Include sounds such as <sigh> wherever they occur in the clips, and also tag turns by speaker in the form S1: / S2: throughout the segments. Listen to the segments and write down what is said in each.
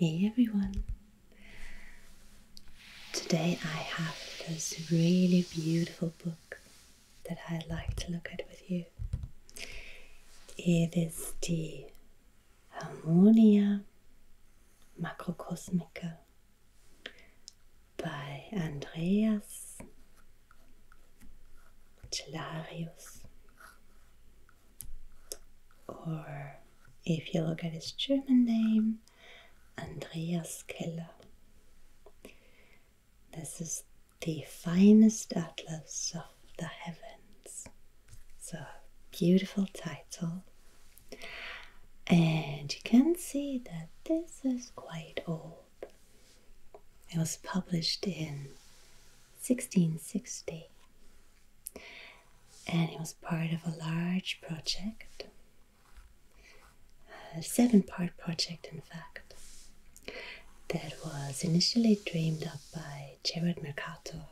S1: Hey everyone! Today I have this really beautiful book that I would like to look at with you. It is the Harmonia Macrocosmica by Andreas Cellarius. Or if you look at his German name, Andreas Keller. This is the finest atlas of the heavens. So beautiful title. And you can see that this this is quite old. It was published in 1660 and it was part of a large project, a seven part project, in fact, that was initially dreamed up by Gerard Mercator,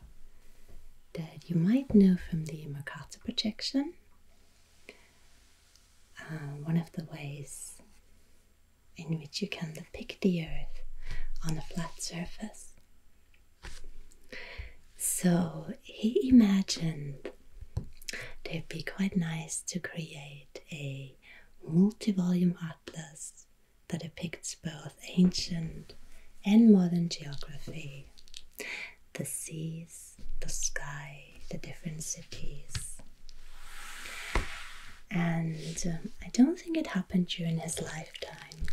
S1: that you might know from the Mercator projection. Uh, one of the ways in which you can depict the earth on a flat surface. So he imagined they'd be quite nice to create a multi volume atlas that depicts both ancient and modern geography the seas, the sky, the different cities. And um, I don't think it happened during his lifetime.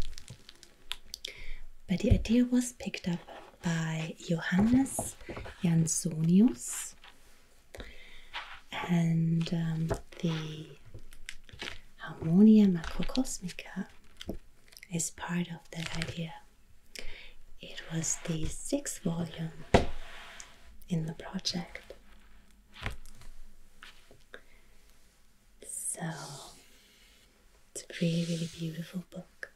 S1: But the idea was picked up by Johannes Jansonius, and um, the Harmonia Macrocosmica is part of that idea. It was the sixth volume in the project. So it's a really, really beautiful book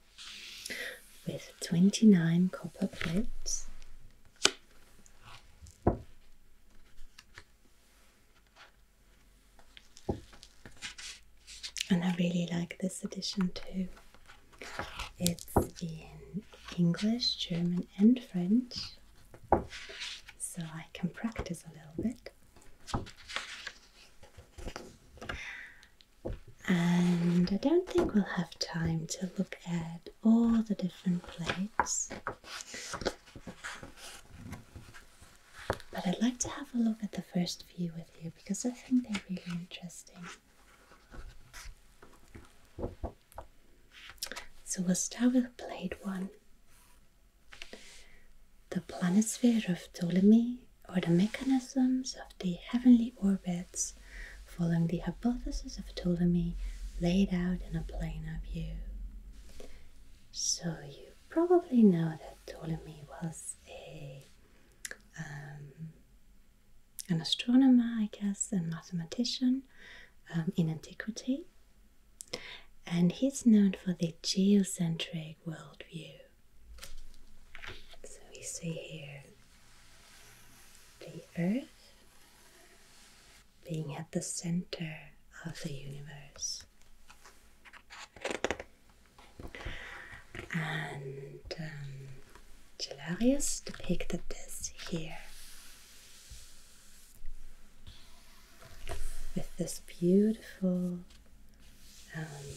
S1: with 29 copper plates. And I really like this edition too. It's in English, German, and French, so I can practice a little bit. And I don't think we'll have time to look at all the different plates. But I'd like to have a look at the first few with you because I think they're really interesting. So we'll start with blade one. The planisphere of Ptolemy, or the mechanisms of the heavenly orbits, following the hypothesis of Ptolemy laid out in a planar view. So you probably know that Ptolemy was a um, an astronomer, I guess, and mathematician um, in antiquity. And he's known for the geocentric worldview. So we see here the Earth being at the center of the universe. And um, Gelarius depicted this here with this beautiful um,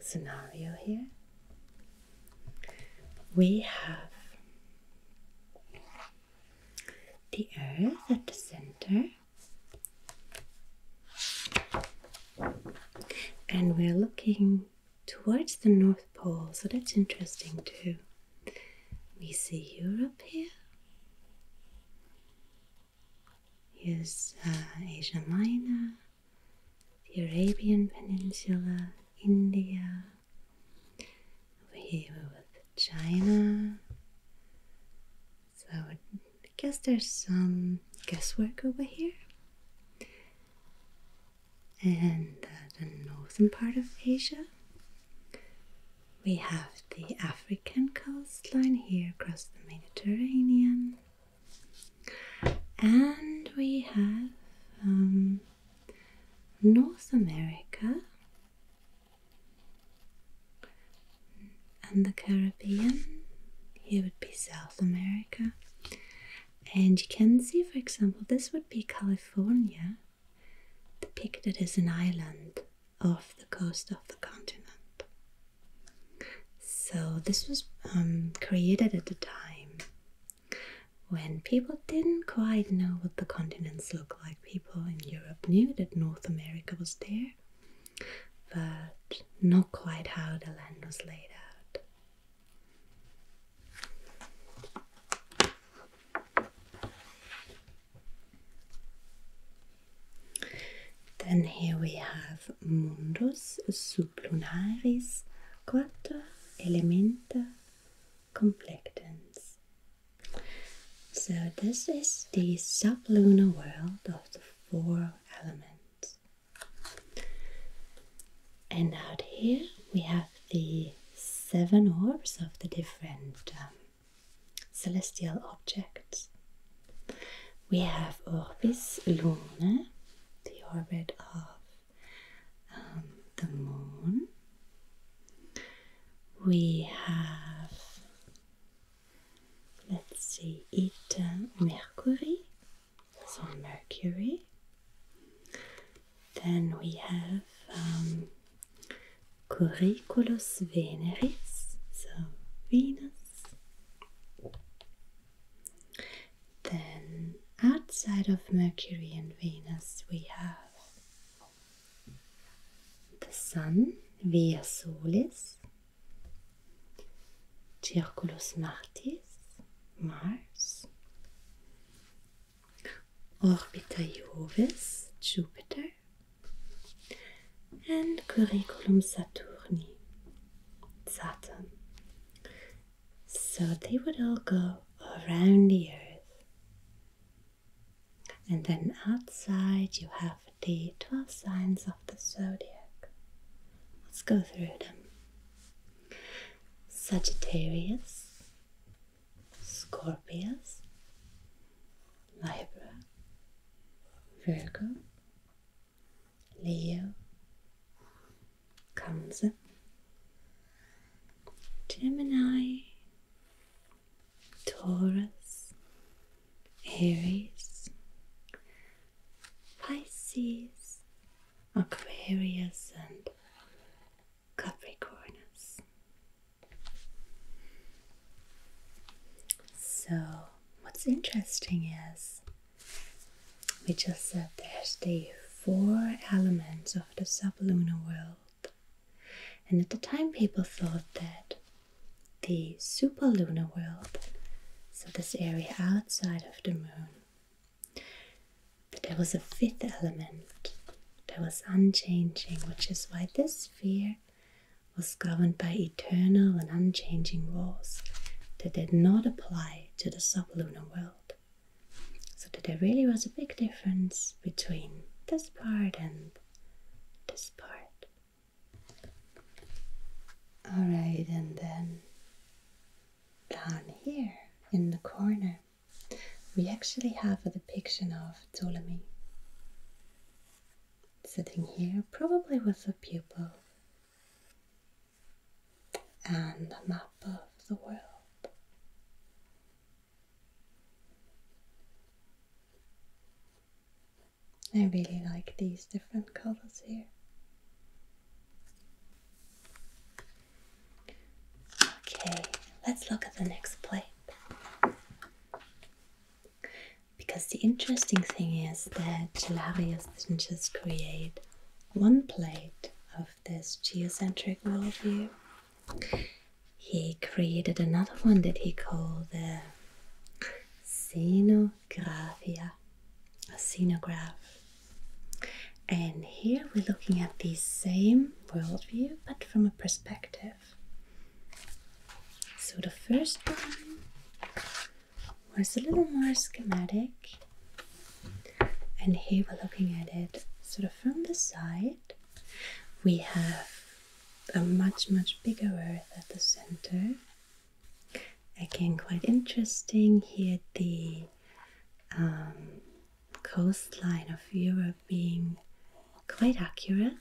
S1: scenario here. We have the earth at the center, and we're looking towards the North Pole, so that's interesting too. We see Europe here. Here's uh, Asia Minor, the Arabian Peninsula, India. Over here we have China. So I guess there's some guesswork over here and uh, the northern part of Asia. We have the African coastline here across the Mediterranean, and we have um, North America and the Caribbean. Here would be South America, and you can see, for example, this would be California, depicted as an island off the coast of the continent. So, this was um, created at a time when people didn't quite know what the continents looked like. People in Europe knew that North America was there, but not quite how the land was laid out. Then here we have Mundus sublunaris quater elementa complectans. So this is the sublunar world of the four elements. And out here we have the seven orbs of the different um, celestial objects. We have Orbis luna, the orbit of um, the moon. We have, let's see, it Mercury, so Mercury. Then we have um, Curriculus Veneris, so Venus. Then outside of Mercury and Venus, we have the Sun, Via Solis, Circulus Martis. Mars, Orbita Jovis, Jupiter, and Curriculum Saturni, Saturn. So they would all go around the Earth. And then outside you have the 12 signs of the zodiac. Let's go through them. Sagittarius, Scorpius, Libra, Virgo, Leo, Cancer, Gemini, Taurus, Aries, Pisces, Aquarius and Capricornus. So, what's interesting is we just said there's the four elements of the sublunar world, and at the time, people thought that the superlunar world, so this area outside of the moon, but there was a fifth element that was unchanging, which is why this sphere was governed by eternal and unchanging laws that did not apply to the sublunar world. So that there really was a big difference between this part and this part. Alright, and then down here in the corner, we actually have a depiction of Ptolemy sitting here, probably with a pupil and a map of the world. I really like these different colors here. Okay, let's look at the next plate. Because the interesting thing is that Gelarius didn't just create one plate of this geocentric worldview. He created another one that he called the Scenographia, a scenograph. And here we're looking at the same worldview but from a perspective. So the first one was a little more schematic, and here we're looking at it sort of from the side. We have a much, much bigger earth at the center. Again, quite interesting here the um, coastline of Europe being quite accurate,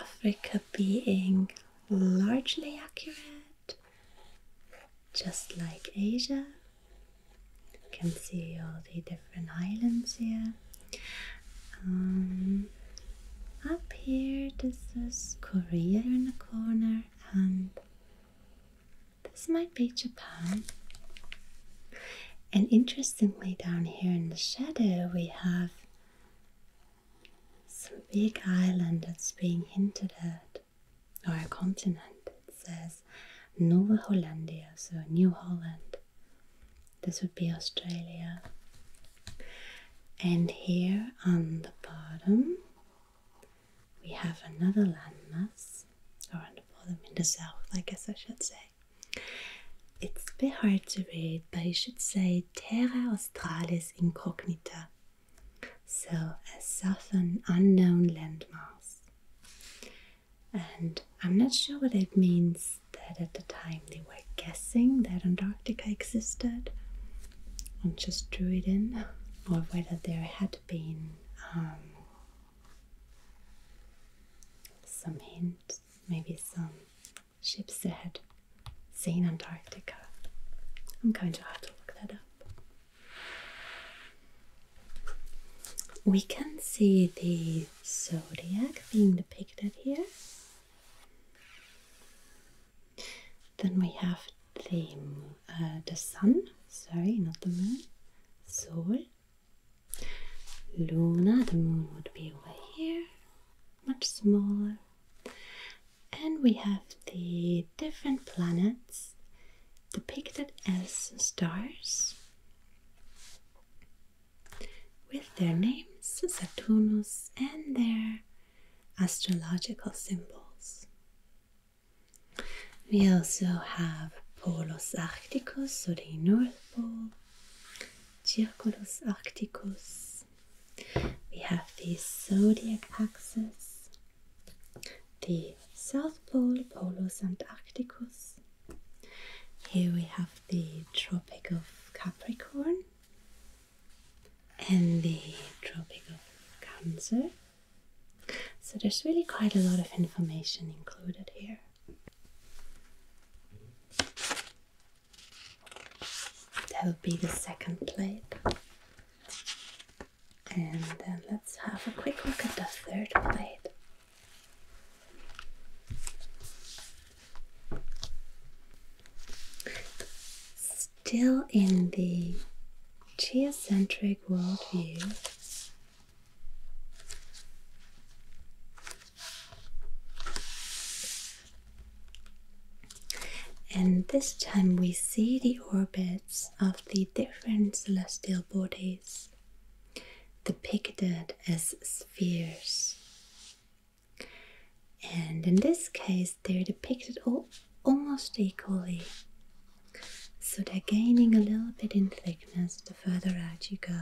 S1: Africa being largely accurate, just like Asia. You can see all the different islands here. Um, up here, this is Korea in the corner, and this might be Japan. And interestingly, down here in the shadow, we have some big island that's being hinted at, or a continent. It says Nova Hollandia, so New Holland. This would be Australia. And here on the bottom, we have another landmass around the bottom in the south, I guess I should say. It's a bit hard to read, but I should say Terra Australis Incognita. So, a southern unknown landmass. And I'm not sure what it means that at the time they were guessing that Antarctica existed, and just drew it in, or whether there had been um, some hint, maybe some ships that had seen Antarctica. I'm going to have to look that up. We can see the zodiac being depicted here. Then we have the uh, the sun. Sorry, not the moon. Sol. Luna. The moon would be over here, much smaller. And we have the different planets depicted as stars with their names, Saturnus, and their astrological symbols. We also have Polus Arcticus, so the North Pole, Circulus Arcticus. We have the zodiac axis, the South Pole, Polus Antarcticus. Here we have the Tropic of Capricorn and the Tropic of Cancer. So there's really quite a lot of information included here. That will be the second plate. And then let's have a quick look at the third plate still in the geocentric worldview, and this time we see the orbits of the different celestial bodies depicted as spheres. And in this case, they're depicted almost equally. So they're gaining a little bit in thickness the further out you go.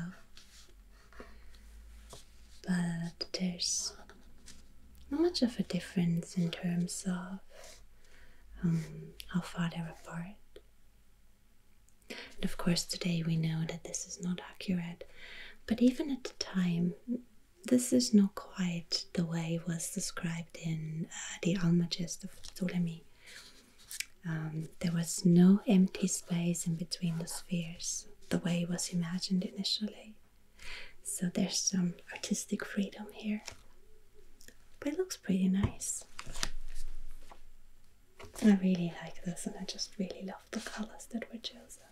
S1: But there's not much of a difference in terms of um, how far they're apart. And of course, today we know that this is not accurate, but even at the time, this is not quite the way it was described arrived in uh, the Almagest of Ptolemy. Um, there was no empty space in between the spheres, the way it was imagined initially. So there's some artistic freedom here. But it looks pretty nice. I really like this and I just really love the colors that were chosen.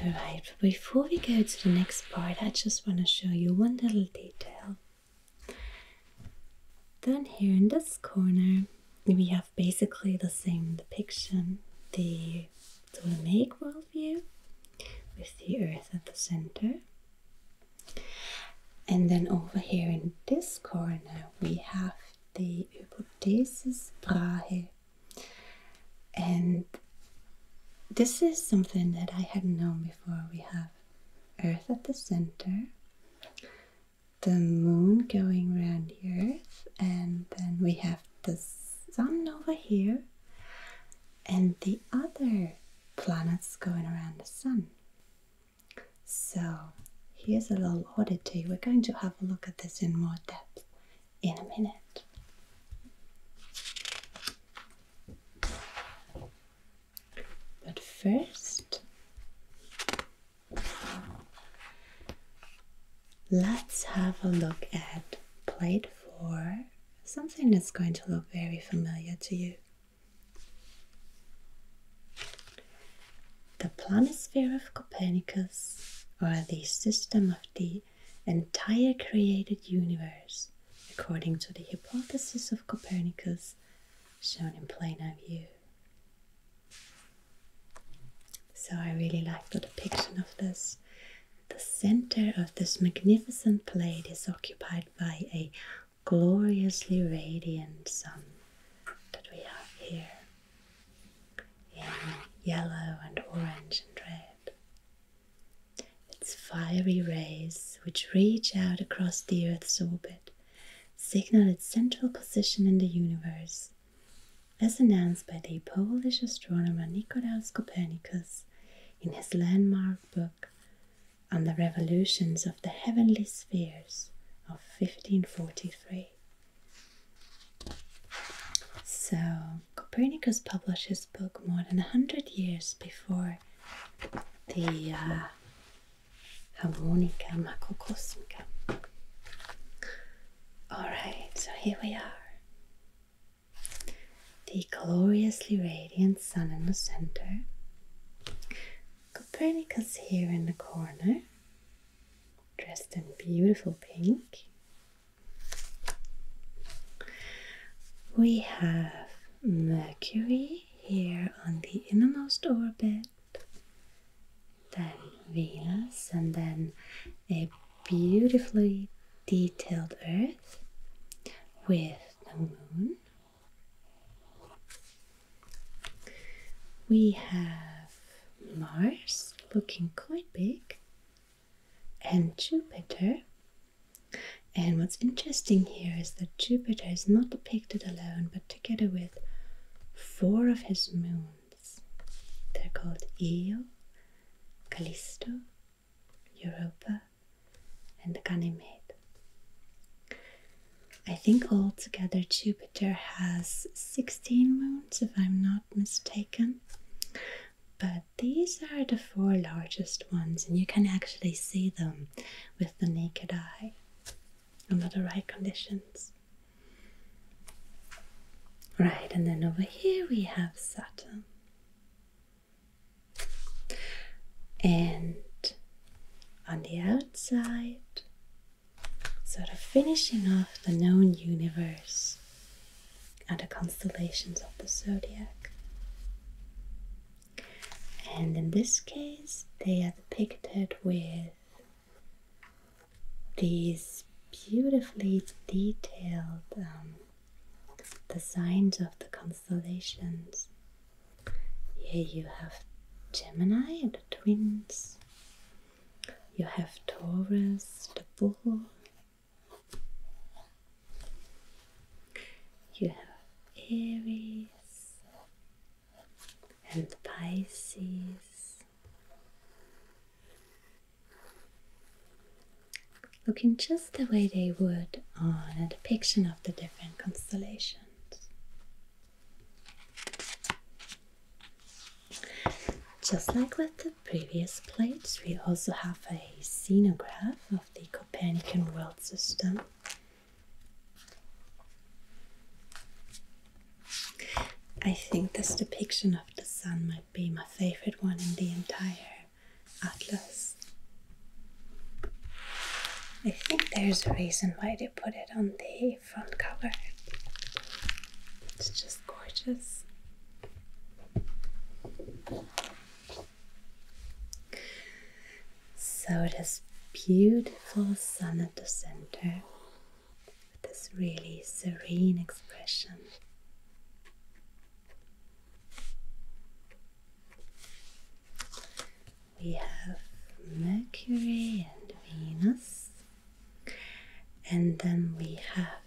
S1: Alright, before we go to the next part, I just want to show you one little detail. Down here in this corner, we have basically the same depiction, the world view, with the earth at the center. And then over here in this corner, we have the Hypothesis Brahe and this is something that I had known before. We have Earth at the center, the moon going around the Earth, and then we have the sun over here, and the other planets going around the sun. So here's a little oddity. We're going to have a look at this in more depth in a minute. But first, let's have a look at plate four, something that's going to look very familiar to you. The planisphere of Copernicus, or the system of the entire created universe according to the hypothesis of Copernicus shown in planar view. So I really like the depiction of this. The center of this magnificent plate is occupied by a gloriously radiant sun that we have here in yellow and orange and red. Its fiery rays, which reach out across the Earth's orbit, signal its central position in the universe. As announced by the Polish astronomer Nicolaus Copernicus in his landmark book on the revolutions of the heavenly spheres of 1543. So, Copernicus published his book more than a hundred years before the uh, Harmonica Macrocosmica. Alright, so here we are. The gloriously radiant sun in the center, Copernicus here in the corner, dressed in beautiful pink, we have Mercury here on the innermost orbit, then Venus, and then a beautifully detailed Earth with the moon. We have Mars looking quite big and Jupiter. And what's interesting here is that Jupiter is not depicted alone, but together with four of his moons. They're called Io, Callisto, Europa, and Ganymede. I think altogether Jupiter has 16 moons, if I'm not mistaken. But these are the four largest ones, and you can actually see them with the naked eye under the right conditions. Right, and then over here we have Saturn. And on the outside, sort of finishing off the known universe, and the constellations of the zodiac. And in this case, they are depicted with these beautifully detailed um, designs of the constellations. Here you have Gemini the twins, you have Taurus, the bull, you have Aries and Pisces. Looking just the way they would on a depiction of the different constellations. Just like with previous plates, we also have a scenograph of the Copernican world system. I think this depiction of the sun might be my favorite one in the entire atlas. I think there's a reason why they put it on the front cover. It's just gorgeous. So this beautiful sun at the center with this really serene expression. We have Mercury and Venus, and then we have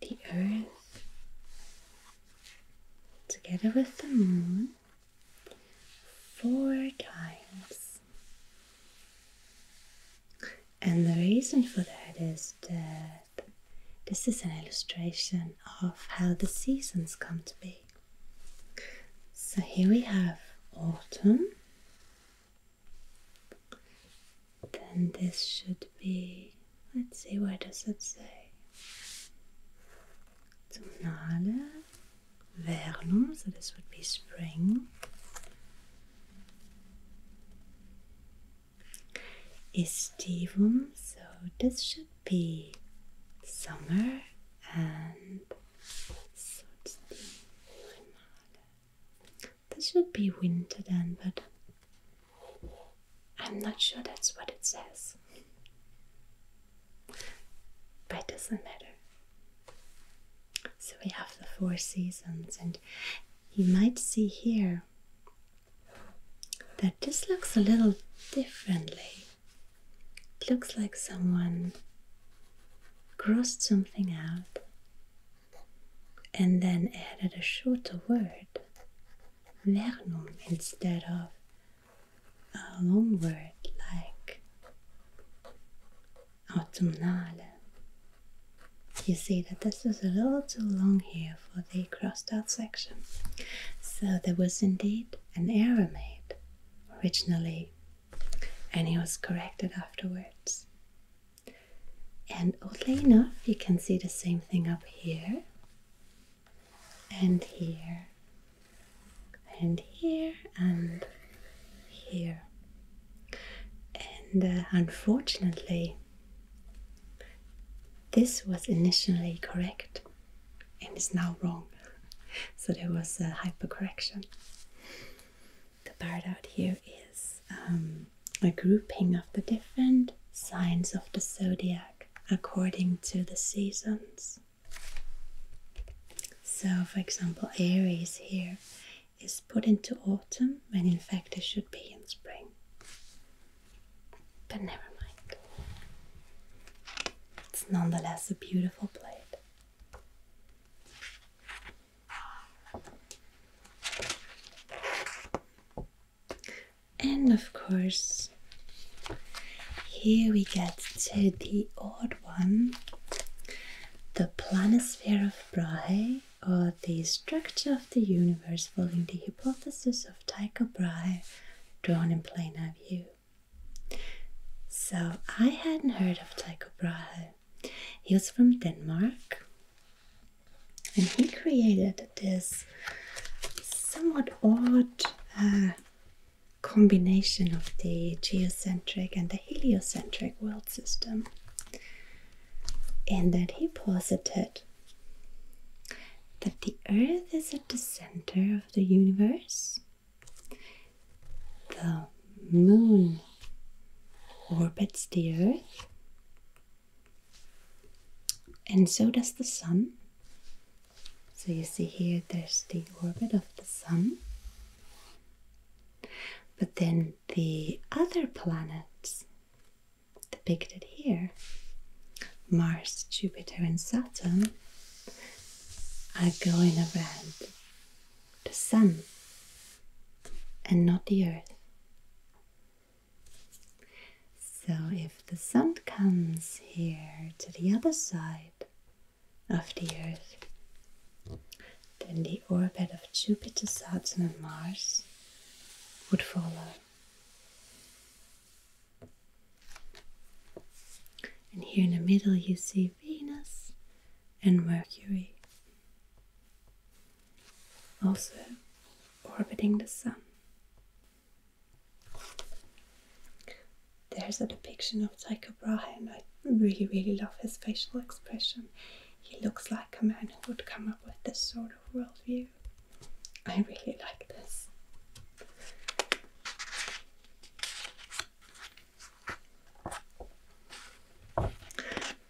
S1: the Earth, together with the Moon, four times. And the reason for that is that this is an illustration of how the seasons come to be. So here we have autumn then this should be, let's see, What does it say? Tonale, vernum, so this would be spring. Estivum, so this should be summer this should be winter then, but I'm not sure that's what it says. But it doesn't matter. So we have the four seasons, and you might see here that this looks a little differently. It looks like someone crossed something out and then added a shorter word, vernum, instead of a long word like autumnale. You see that this was a little too long here for the crossed out section. So there was indeed an error made originally, and it was corrected afterwards. And oddly enough, you can see the same thing up here, and here, and here, and here. And uh, unfortunately, this was initially correct and is now wrong. <laughs> So there was a hypercorrection. The part out here is um, a grouping of the different signs of the zodiac according to the seasons. So, for example, Aries here is put into autumn when in fact it should be in spring. But never mind. It's nonetheless a beautiful plate. And of course, here we get to the odd one the planisphere of Brahe, or the structure of the universe following the hypothesis of Tycho Brahe, drawn in planar view. So, I hadn't heard of Tycho Brahe. He was from Denmark and he created this somewhat odd uh, combination of the geocentric and the heliocentric world system and then he posited that the earth is at the center of the universe the moon orbits the earth and so does the sun. So you see here there's the orbit of the sun. But then the other planets depicted here Mars, Jupiter, and Saturn are going around the sun and not the earth. So if the sun comes here to the other side of the Earth, then the orbit of Jupiter, Saturn, and Mars would follow. And here in the middle, you see Venus and Mercury also orbiting the sun. There's a depiction of Tycho Brahe, and I really, really love his facial expression. He looks like a man who would come up with this sort of worldview. I really like this.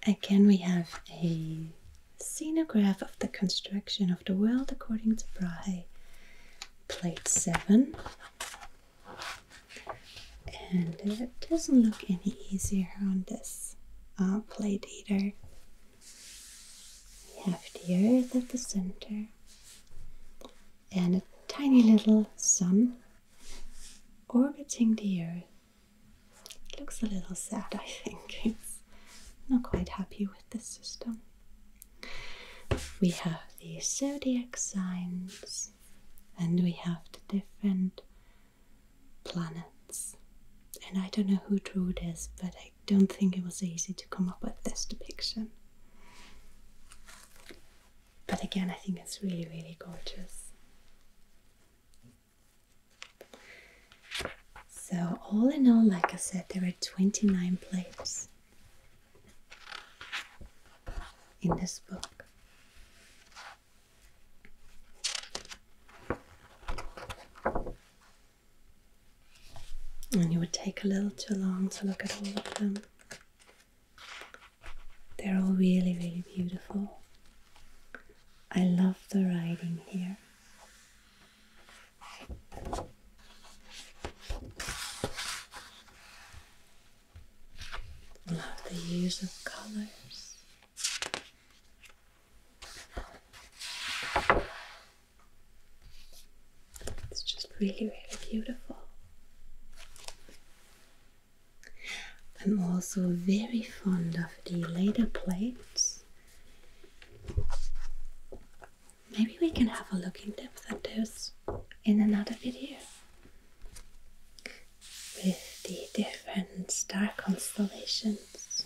S1: Again, we have a Scenograph of the construction of the world according to Brahe, plate 7. And it doesn't look any easier on this uh, plate either. We have the earth at the center and a tiny little sun orbiting the earth it looks a little sad, I think. <laughs> It's not quite happy with this system. We have the zodiac signs and we have the different planets. And I don't know who drew this, but I don't think it was easy to come up with this depiction. But again, I think it's really, really gorgeous. So, all in all, like I said, there are 29 plates in this book. And it would take a little too long to look at all of them. They're all really, really beautiful. I love the writing here. Love the use of colors. It's just really, really beautiful. I'm also very fond of the later plates Maybe we can have a look in depth at those in another video with the different star constellations.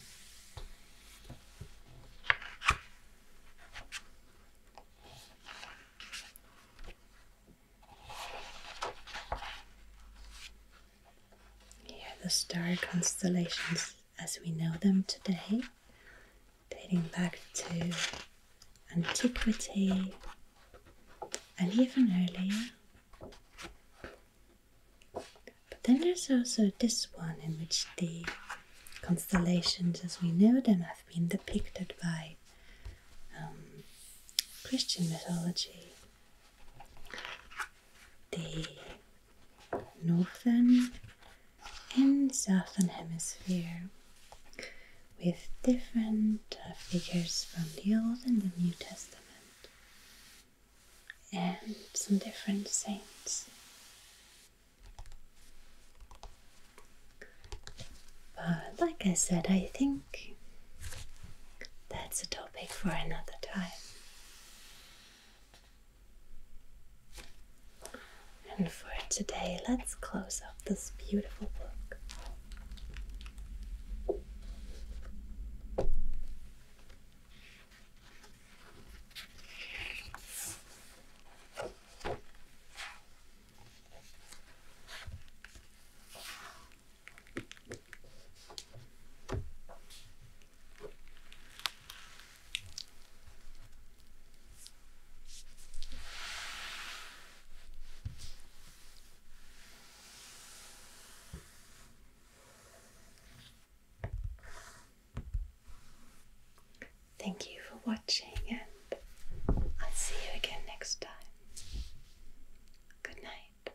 S1: Here, the star constellations as we know them today, dating back to antiquity and even earlier. But then there's also this one in which the constellations as we know them have been depicted by um, Christian mythology. The northern and southern hemisphere with different uh, figures from the Old and the New Testament and some different saints. But like I said, I think that's a topic for another time. And for today, let's close up this beautiful book. Thank you for watching, and I'll see you again next time. Good night.